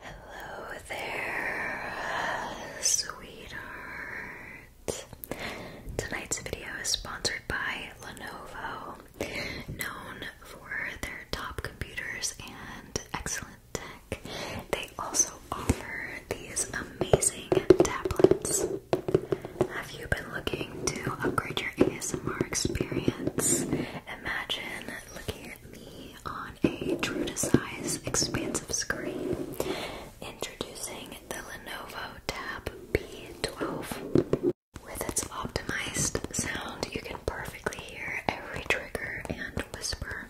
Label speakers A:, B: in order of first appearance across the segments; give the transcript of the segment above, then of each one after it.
A: Hello there, sweetheart. Tonight's video is sponsored by Lenovo, known for their top computers and excellent tech. They also offer these amazing tablets. Have you been looking to upgrade your ASMR experience? Imagine looking at me on a true to size expansive screen. Introducing the Lenovo Tab P12. With its optimized sound, you can perfectly hear every trigger and whisper.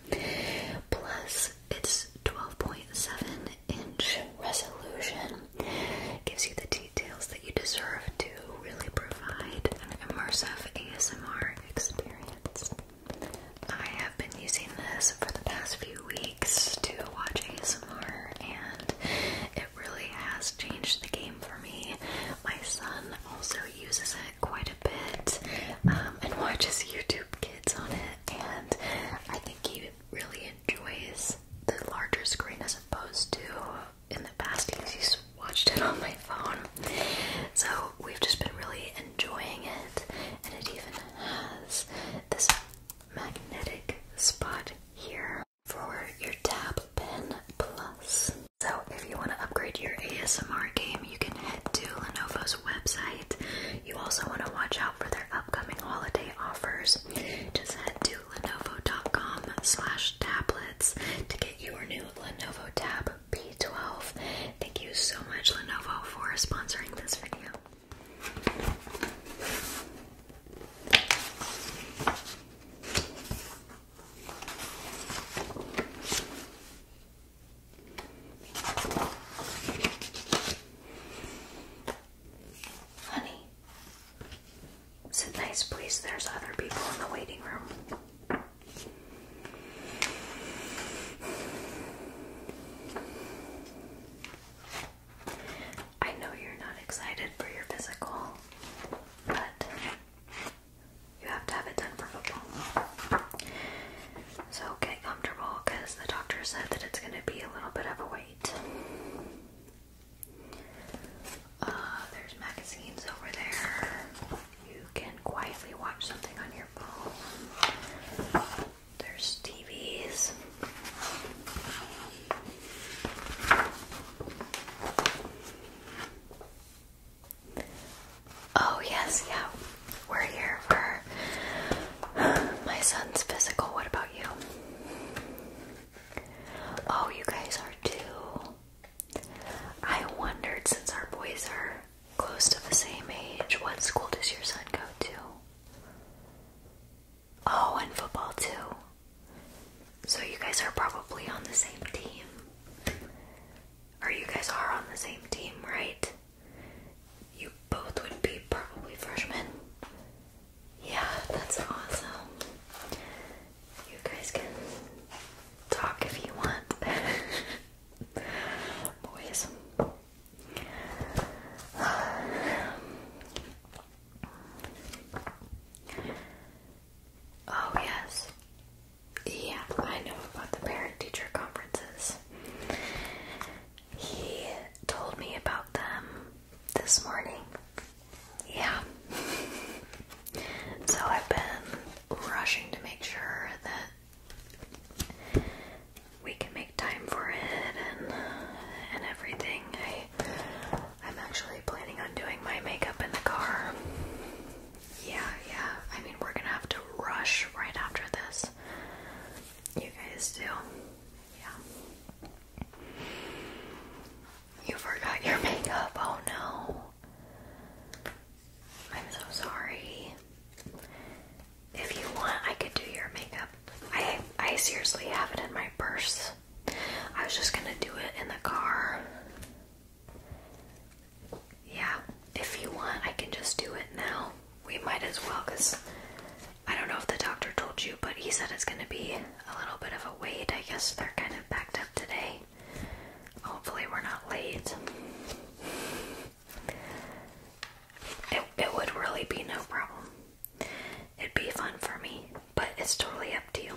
A: Plus, its 12.7 inch resolution gives you the details that you deserve to really provide an immersive ASMR experience. I have been using this for the past few weeks to watch ASMR, and it really has changed the game for me. My son also uses it quite a bit um, and watches YouTube Kids on it, and I think he really enjoys the larger screen as opposed to in the past he used watched it on my phone. So we've just been really enjoying it, and it even has this magnetic spot here for your Tab Pen Plus. So if you want to upgrade your ASMR game, you can head to Lenovo's website. You also want to watch out for their upcoming holiday offers. Just head to lenovo.com slash tablets to get your new Lenovo Tab B12. Thank you so much, Lenovo, for sponsoring this video. Honey, sit nice, please. There's other people in the waiting room. I know you're not excited for your physical, but you have to have it done for football. So get comfortable because the doctor said that it's going to be a little bit of a wait. Uh, there's magazines over there. You can quietly watch something on your phone. There's TVs. Oh, yes, yeah. We're here for my son's physical. What about you? Oh, you guys are too. I wondered since our boys are close to the same age, what school does your son go to? Oh, and football too. So you guys are probably on the same team. Are you guys are on the same team, right? You both would be probably freshmen. Yeah, that's awesome. You guys can talk if you want. Boys. Oh, yes. Yeah, I know about the parent teacher conferences. He told me about them this morning. Yeah. so I've been rushing to make sure that we can make time for it and and everything. I am actually planning on doing my makeup in the car. Yeah, yeah. I mean, we're gonna have to rush right after this. You guys do. Yeah. You forgot your makeup. Oh no. I'm so sorry. If you want, I could do your makeup. I I seriously have it in my purse. I was just gonna do it in the car. Yeah, if you want, I can just do it now. We might as well, because I don't know if the doctor told you, but he said it's gonna be a little bit of a wait. I guess they're kind of backed up today. Hopefully, we're not late. It, would really be no problem. It'd be fun for me, but it's totally up to you.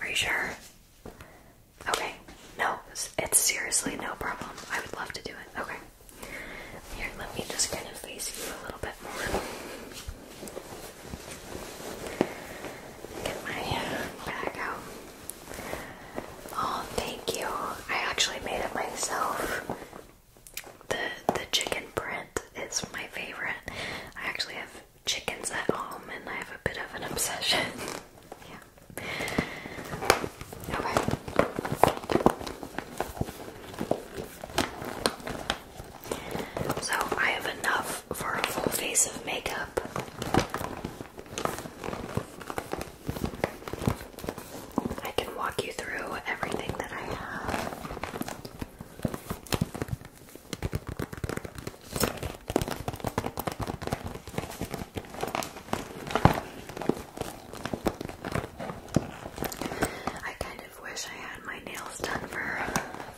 A: Are you sure? Okay. No, it's seriously no problem. I would love to do it. Okay. Here, let me just kind of face you a little bit more. Get my bag out. Oh, thank you. I actually made it myself. The the chicken print is my favorite. I actually have chickens at home and I have a bit of an obsession. yeah. Okay. So I have enough for a full face of makeup. I can walk you through everything that I have. I kind of wish I had my nails done for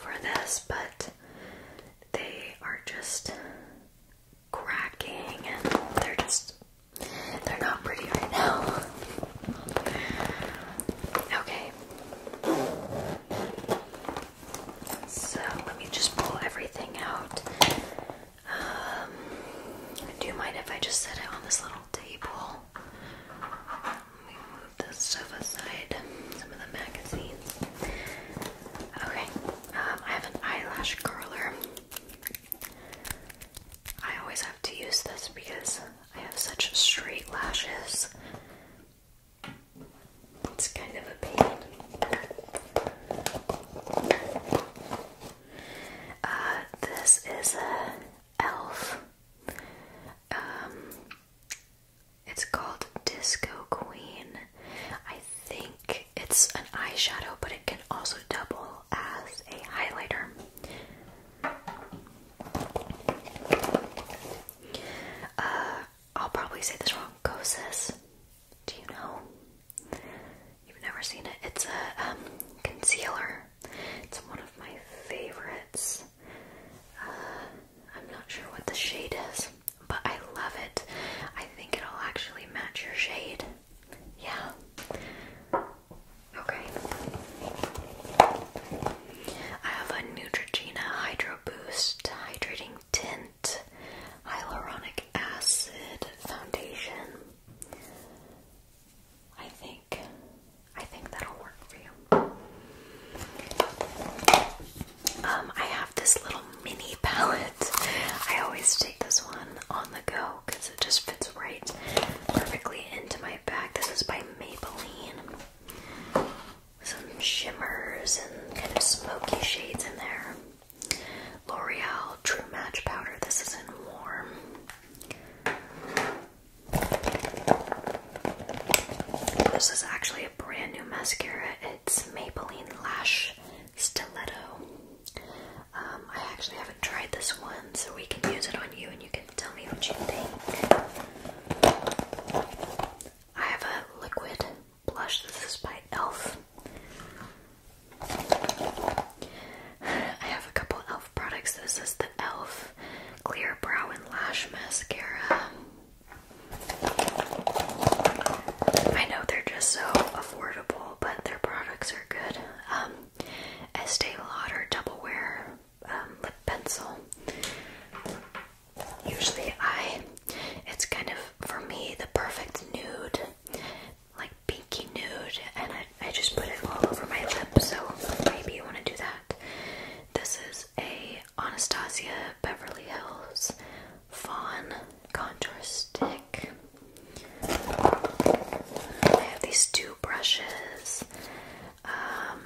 A: for this, but they are just cracking and they're just they're not pretty right now. Okay. So let me just pull everything out. Um, do you mind if I just set it on this little table? the stuff aside, some of the magazines. Okay, um, I have an eyelash curler. I always have to use this because I have such straight lashes. It's kind of a pain. Uh, this is a elf. Um, it's called Disco Queen. I think it's an eyeshadow, but it can also double as a highlighter. Uh, I'll probably say this wrong. Kosas. Do you know? You've never seen it. It's a um, concealer. It's one of my favorites. Uh, I'm not sure what the shade is, but I love it. I think it'll actually match your shade. Yeah. Okay. I have a Neutrogena Hydro Boost Hydrating Tint Hyaluronic Acid Foundation. I think I think that'll work for you. Um, I have this little mini palette. I always take this one on the go because it just fits right perfectly into my bag. This is by Maybelline. Some shimmers and kind of smoky shades in there. L'Oreal True Match Powder. This is in warm. This is actually a brand new mascara. It's Maybelline Lash Stiletto. Um, I actually haven't tried this one, so we can use it on you and you can tell me what you think. I have a liquid blush. This is by e.l.f. I have a couple e.l.f. products. This is the e.l.f. Clear Brow and Lash Mascara. I know they're just so affordable, but their products are good. Um, Estee Lauder Double Wear um, Lip Pencil. Usually, I it's kind of for me the perfect nude, like pinky nude, and I, I just put it all over my lip. So maybe you want to do that. This is a Anastasia Beverly Hills Fawn Contour Stick. I have these two brushes. Um,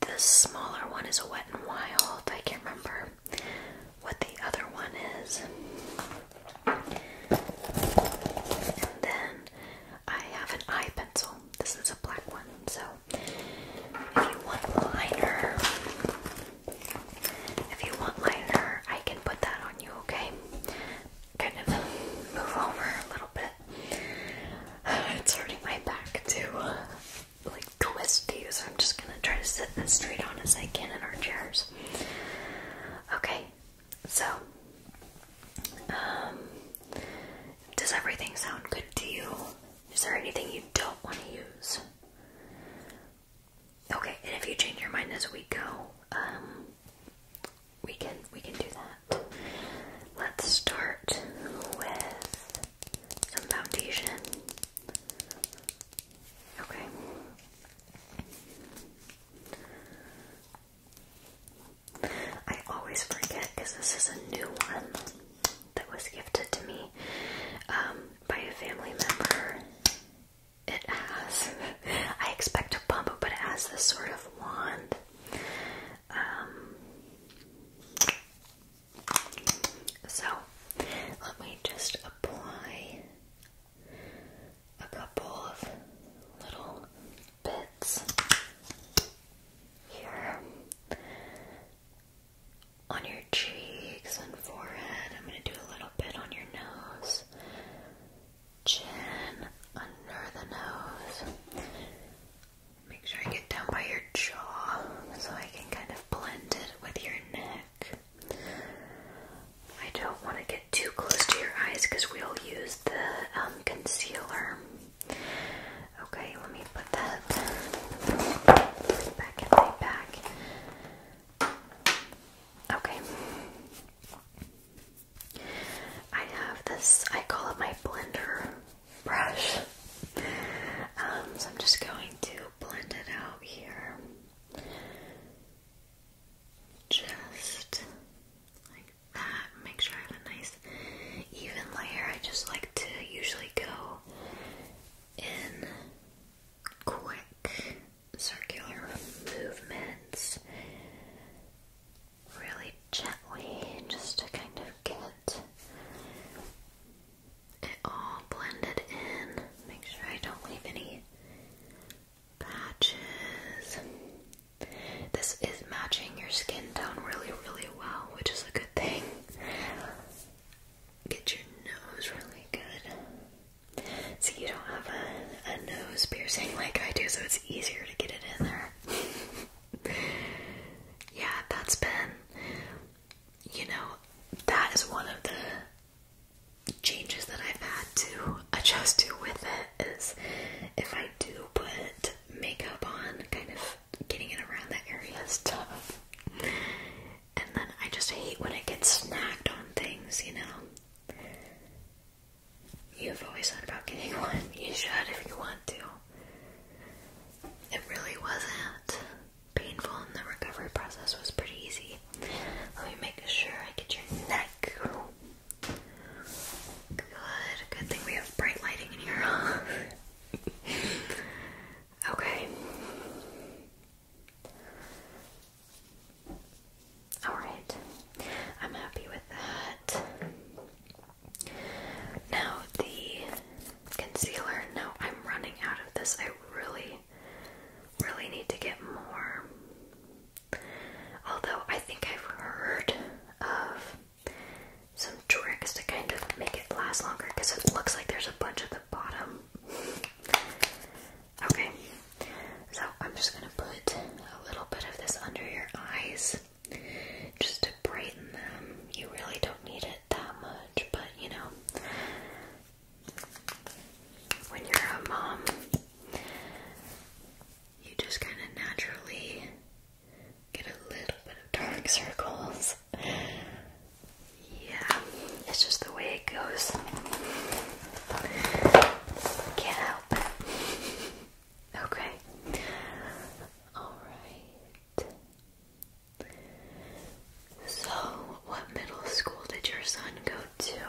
A: the smaller one is a Wet n Wild. I can't remember what the other one is. And then I have an eye pencil. This is a black one, so if you want liner, if you want liner, I can put that on you, okay? Kind of move over a little bit. It's hurting my back too. Like twisty, so I'm just gonna try to sit as straight on as I can in our chairs. Okay, so um, does everything sound good to you? Is there anything you don't want to use? Okay, and if you change your mind as we go, um, we can we can do that. Let's start with some foundation. Okay. I always forget because this is a new one that was gifted to me um, by a family member. It has, I expect a bump, but it has this sort of wand. Um, so let me just apply a couple of little bits here on your cheeks and forehead. I'm going to do a little bit on your nose, chin, under the nose. Make sure I get down by your jaw so I can kind of blend it with your neck. I don't want to get too close to your eyes because we'll use the um, concealer. Okay, let me put that back in my bag. Okay. I have this, I call it my blender brush. Um, so I'm just going to blend it out here. Just like that make sure I have a nice even layer. I just like to usually go in quick circular movements really gently just to kind of get it all blended in. Make sure I don't leave any patches. This is matching your skin tone really, really well, which is a good thing. Get your nose really good. See, you don't have a, a nose piercing like I do, so it's easier to get it in there. yeah, that's been, you know, that is one of the changes that I've had to adjust to with it. Is if I do put makeup on, kind of getting it around that area is tough. And then I just hate when it gets snagged on things, you know. You've always thought about getting one. You should if you want to. It really wasn't painful, and the recovery process was pretty easy. Let me make sure I get your neck. Good. Good thing we have bright lighting in here. okay. Alright. I'm happy with that. Now, the concealer. No, I'm running out of this. I really, really need to get more. Although, I think I've heard of some tricks to kind of make it last longer because it looks like there's a bunch at the bottom. okay, so I'm just gonna put a little bit of this under your eyes just to brighten them. You really don't need it that much, but you know, when you're a mom, you just kind of naturally Get a little bit of dark circles. Yeah, it's just the way it goes. Can't help it. Okay. Alright. So, what middle school did your son go to?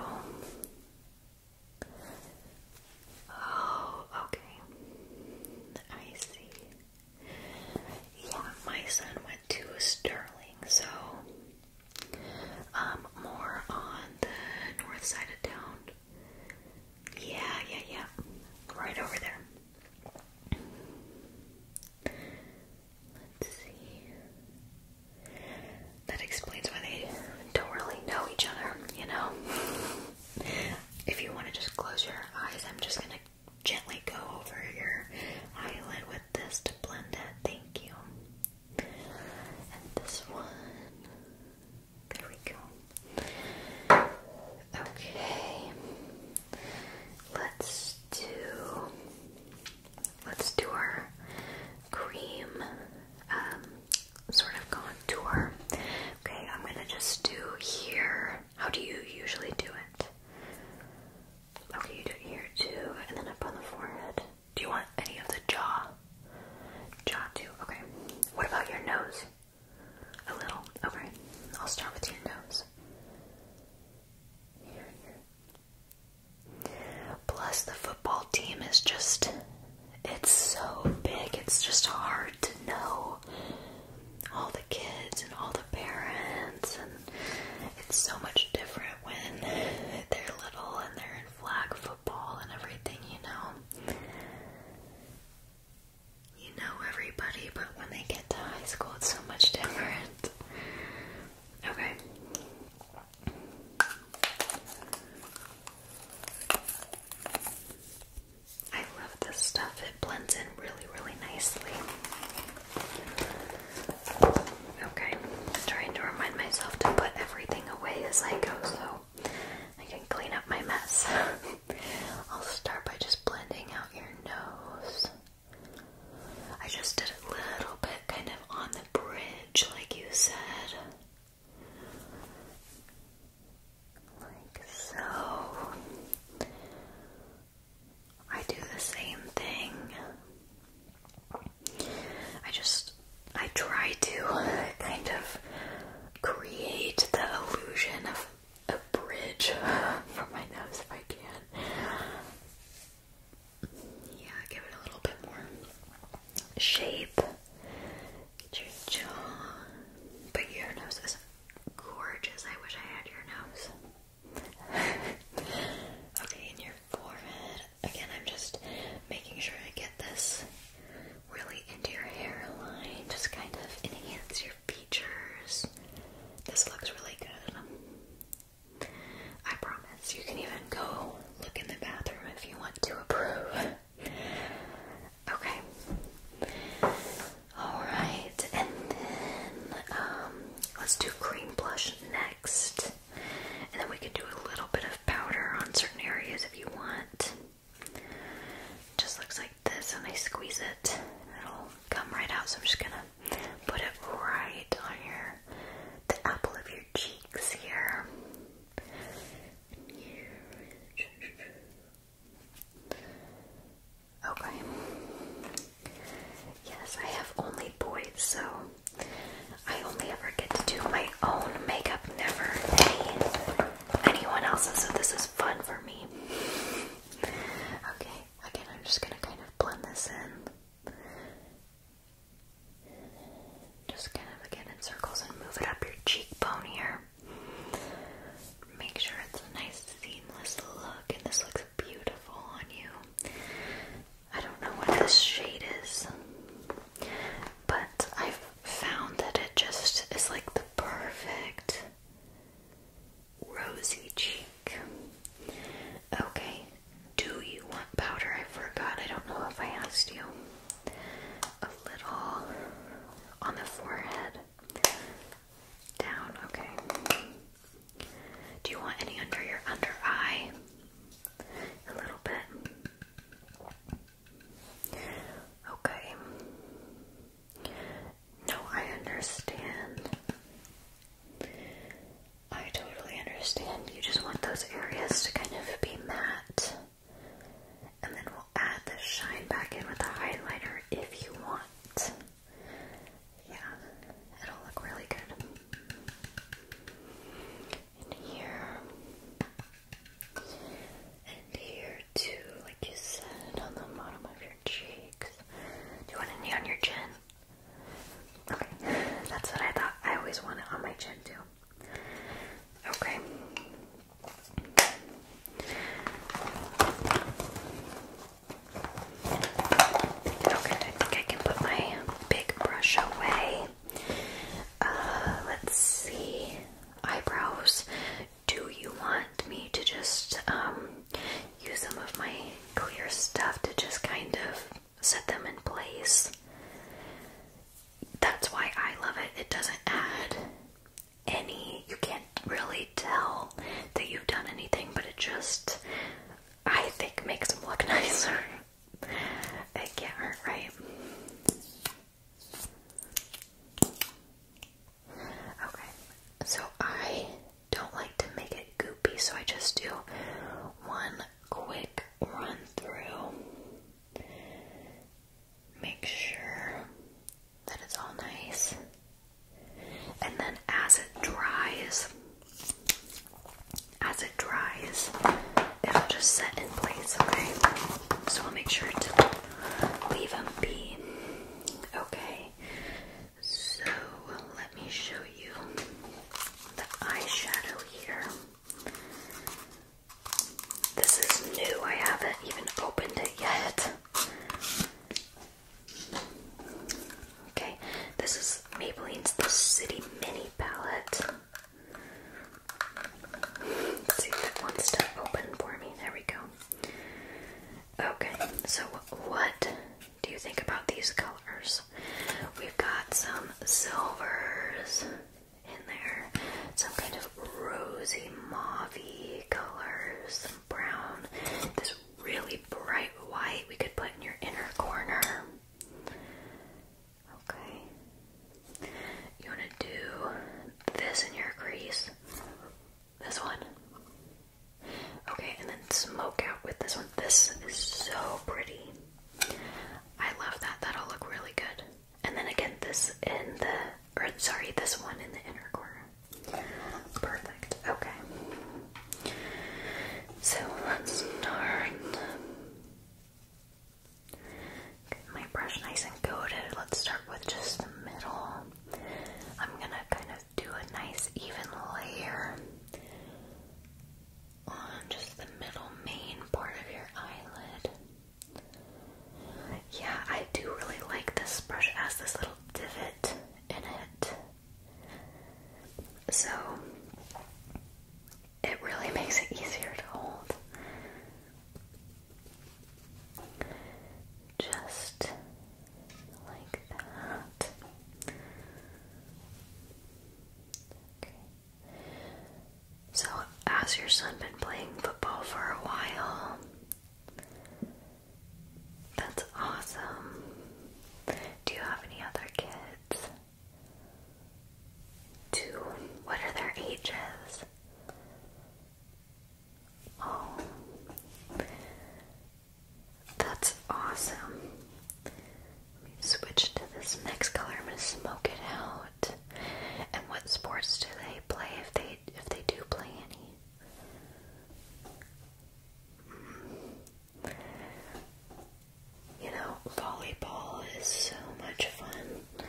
A: Oh, okay. I see. Yeah, my son went to Sterling, so um more on the north side of town. Yeah, yeah, yeah. Right over there. Let's see. That explains why they don't really know each other, you know? If you want to just close your eyes, I'm just gonna gently go over your eyelid with this to blend it. Thank you. And this one. There we go. Okay. Let's do let's do our cream um, sort of contour. Okay, I'm gonna just do here. How do you usually do it? Okay, you do here too, and then up on the forehead. Do you want any of the jaw? Jaw too, okay. What about your nose? A little, okay. I'll start with your nose. Here, here. Plus, the football team is just it's so big, it's just hard to know all the kids and all the parents, and it's so much different when they're little and they're in flag football and everything, you know. You know everybody, but when they get to high school, it's so much different. Okay. I love this stuff. It blends in really, really nicely. Okay, trying to remind myself to put everything away as I go so I can clean up my mess. I'll start by just blending out your nose. I just did a little bit kind of on the bridge, like you said. Like so. I do the same thing. I just, I try to kind of create the illusion of a bridge from my nose if I can. Yeah, give it a little bit more shape your jaw. But your nose is gorgeous. I wish I had your nose. okay, in your forehead. Again, I'm just making sure I get this really into your hairline. Just kind of enhance your features. This looks really good. I promise. You can even go look in the bathroom if you want to approve. Okay. Alright, and then um, let's do cream blush next. And then we can do a little bit of powder on certain areas if you want. Just looks like this, and I squeeze it, it'll come right out. So I'm just gonna put it right on your the apple of your cheeks here. Okay. Yes, I have only boys, so I only ever get to do my own makeup, never anyone else's, so this is fun for me. Okay, again, I'm just gonna kind of blend this in. Just kind of again in circles and move it up your cheekbone here. Make sure it's a nice seamless look, and this looks beautiful on you. I don't know what this shade is, but I've found that it just is like the perfect rosy cheek. Okay, do you want powder? I forgot, I don't know if I asked you a little on the forehead. Down, okay. Do you want any under your under eye? A little bit. Okay. No, I understand. I totally understand. You just want those areas to kind of be matte. And then we'll add the shine back in with a highlighter if you want. Yeah, it'll look really good. And here, and here too, like you said, on the bottom of your cheeks. Do you want any on your chin? Okay, that's what I thought. I always want it on my chin too. Okay, Okay, I think I can put my big brush away. Uh, let's see. Eyebrows. Do you want me to just um, use some of my clear stuff to just kind of set them in place? That's why I love it. It doesn't add any you can't really tell that you've done anything, but it just I think makes them look nicer. it can't hurt, right? Okay, so I don't like to make it goopy, so I just do one quick run through make sure that it's all nice. And then as it dries, as it dries, it'll just set in place, okay? So I'll make sure to leave them be. Okay, so let me show you the eyeshadow here. This is new, I haven't even opened it yet. Okay, this is Maybelline's The City Mini Palette. see if it wants to open for me. There we go. Okay, so what do you think about these colors? We've got some silvers in there. Some kind of rosy, mauvey color, some brown, this really bright white we could put in your inner corner. Okay. You want to do this in your crease. This one. Okay, and then smoke out with this one. This is so pretty. I love that. That'll look really good and then again this in the or sorry this one in the inner corner perfect okay so let's start Get my brush nice and coated let's start with just the middle I'm gonna kind of do a nice even layer on just the middle main part of your eyelid yeah, I do really like this brush. as this little divot in it. So it really makes it easier to hold. Just like that. So, has your son been playing football for a while? That's awesome. Do you have any other kids? Two. What are their ages? Oh. That's awesome. switch to this next color. I'm going to smoke it out. And what sports do they play if they if they do play any. You know, volleyball is so much fun.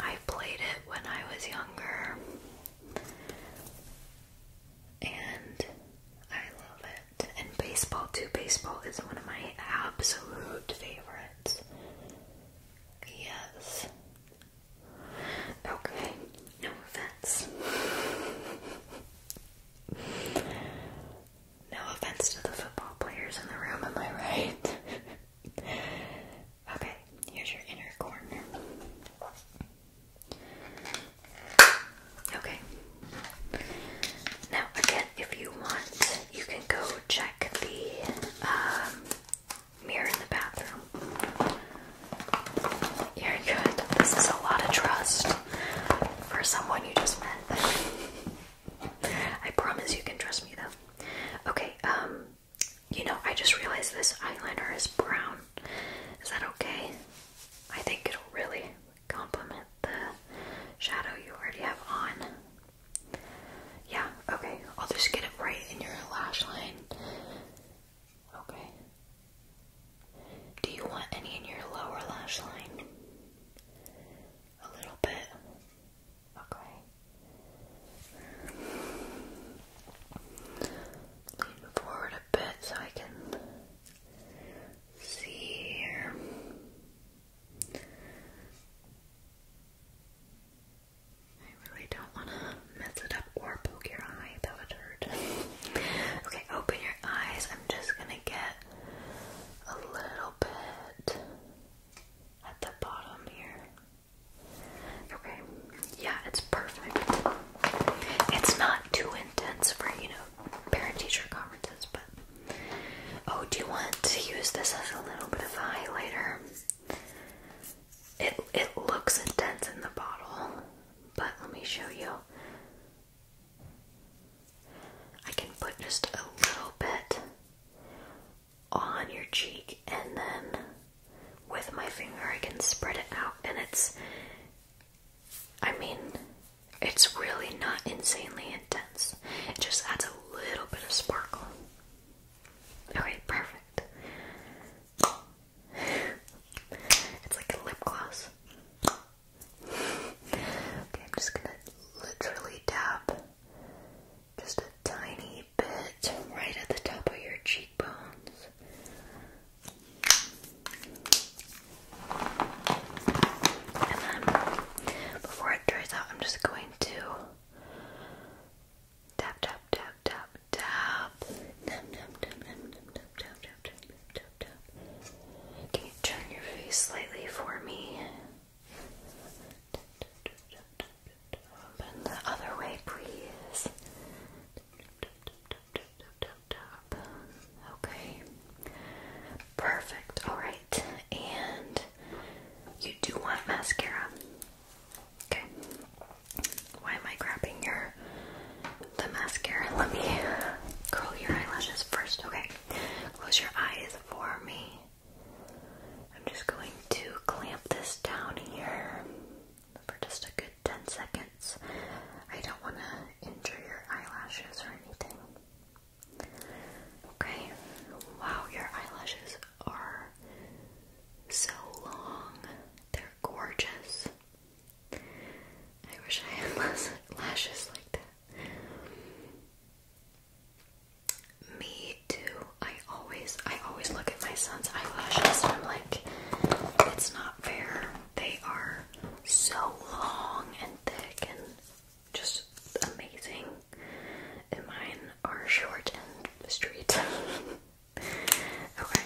A: I played it when I was younger. And I love it. And baseball, too. Baseball is one of my absolute favorites. Yes. Okay. No offense. no offense to the football players in the room, am I right? okay, here's your inner corner. Okay. Now, again, if you want, you can go check the um, mirror in the bathroom. You're good. This is a lot of trust for someone you just met. I promise you can trust me though. Okay, um, you know, I just realized this eyeliner is brown. Is that okay? I think it'll really complement the shadow you already have on. Yeah, okay. I'll just get it right in your lash line. Okay. Do you want any in your lower lash line? A little bit. Okay. Lean forward a bit so I can see here. I really don't want to mess it up or poke your eye. That would hurt. okay, open your eyes. I'm just going to get a little bit at the bottom here. Okay, yeah, it's perfect. It's not too intense for, you know, parent-teacher conferences, but... Oh, do you want to use this as a little bit of a highlighter? It it looks intense in the bottle, but let me show you. I can put just a little bit on your cheek and then with my finger I can spread it out and it's I mean it's really not insanely intense. It just adds a little bit of sparkle. Okay, perfect. it's like a lip gloss. okay, I'm just gonna literally tap just a tiny bit right at the top of your cheekbones. And then before it dries out, I'm just going to Tap tap tap tap tap. Tap tap tap tap tap tap tap tap tap Can you turn your face slightly for me? Open the other way, please. Okay. Perfect. All right. And you do want mascara. Okay. Why am I grabbing your the mascara? Let me curl your eyelashes first. Okay. Close your eyes for me. I'm just going to clamp this down here for just a good 10 seconds. I don't want to injure your eyelashes or anything. Okay. Wow, your eyelashes are so long. They're gorgeous. I wish I had less lashes like that. Me too. I always I always look at my son's eyelashes and I'm like, it's not fair. They are so long and thick and just amazing. And mine are short and straight. okay.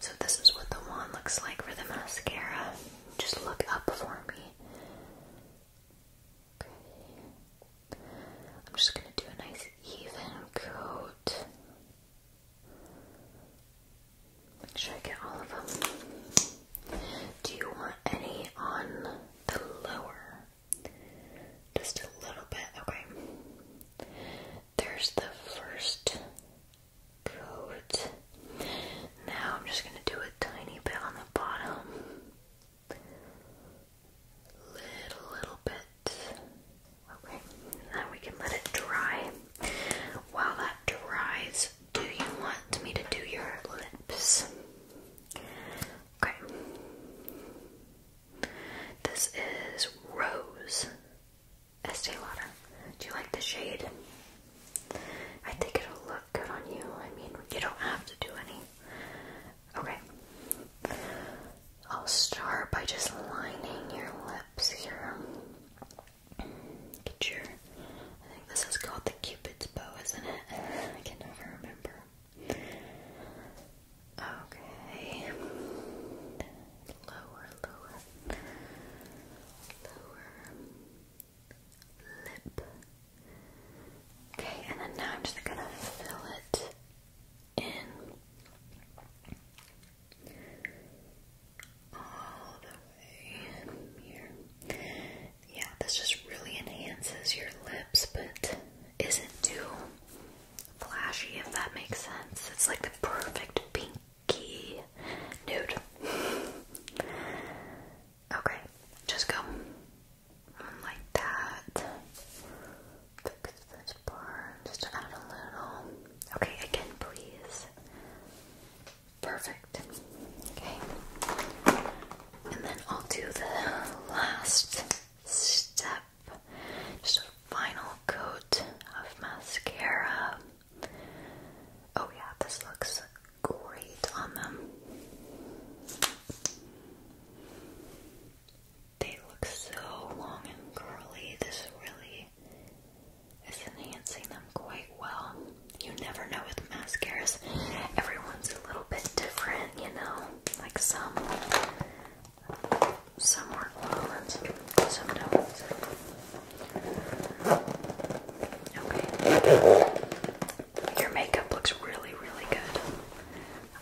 A: So this is what the wand looks like for the mascara. Just look up for me. I'm just gonna do a nice even coat. Make sure I get all of them. Do you want any on the lower just a little bit, okay. There's the first coat. Now I'm just gonna do a tiny bit on the bottom. Little, little bit. Okay, now we can let it dry. While that dries, do you want me to do your lips? Okay. This is Rose Estee Lauder. Do you like the shade? I think it'll look good on you. I mean, you don't have to do any. Okay. I'll start by just lining your lips here. Get your. I think this is called the Cupid's bow, isn't it? I can never remember. Okay. Lower, lower, lower lip. Okay, and then now I'm just gonna fill it in all the way here. Yeah, this just really enhances your lips, but isn't too flashy, if that makes sense. It's like the perfect pinky nude. Okay, just go like that. Fix this part, just add a little. Okay, again, please. Perfect. Okay. And then I'll do the last step. Just a final coat of mascara. Oh, yeah, this looks great on them. They look so long and curly. This really is enhancing them quite well. You never know with mascaras, everyone's a little bit different you know, like some some work well some don't. Okay. Your makeup looks really, really good.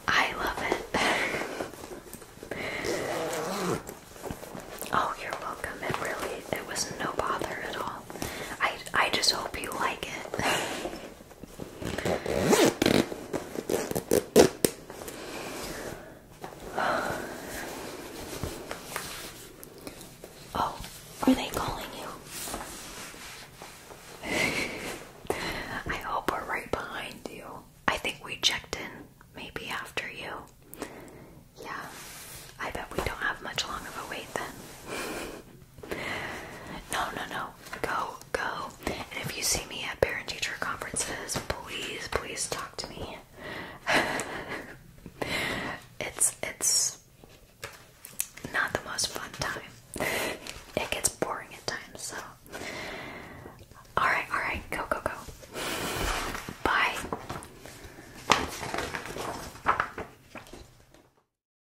A: I love it. oh, you're welcome. It really it was no bother at all. I I just hope you like it. Oh, are they calling you? I hope we're right behind you. I think we checked in maybe after you. Yeah, I bet we don't have much longer of a wait then. No, no, no. Go, go. And if you see me at parent teacher conferences, please, please talk to me. it's it's not the most fun time. It gets boring at times, so Alright, alright, go, go, go. Bye.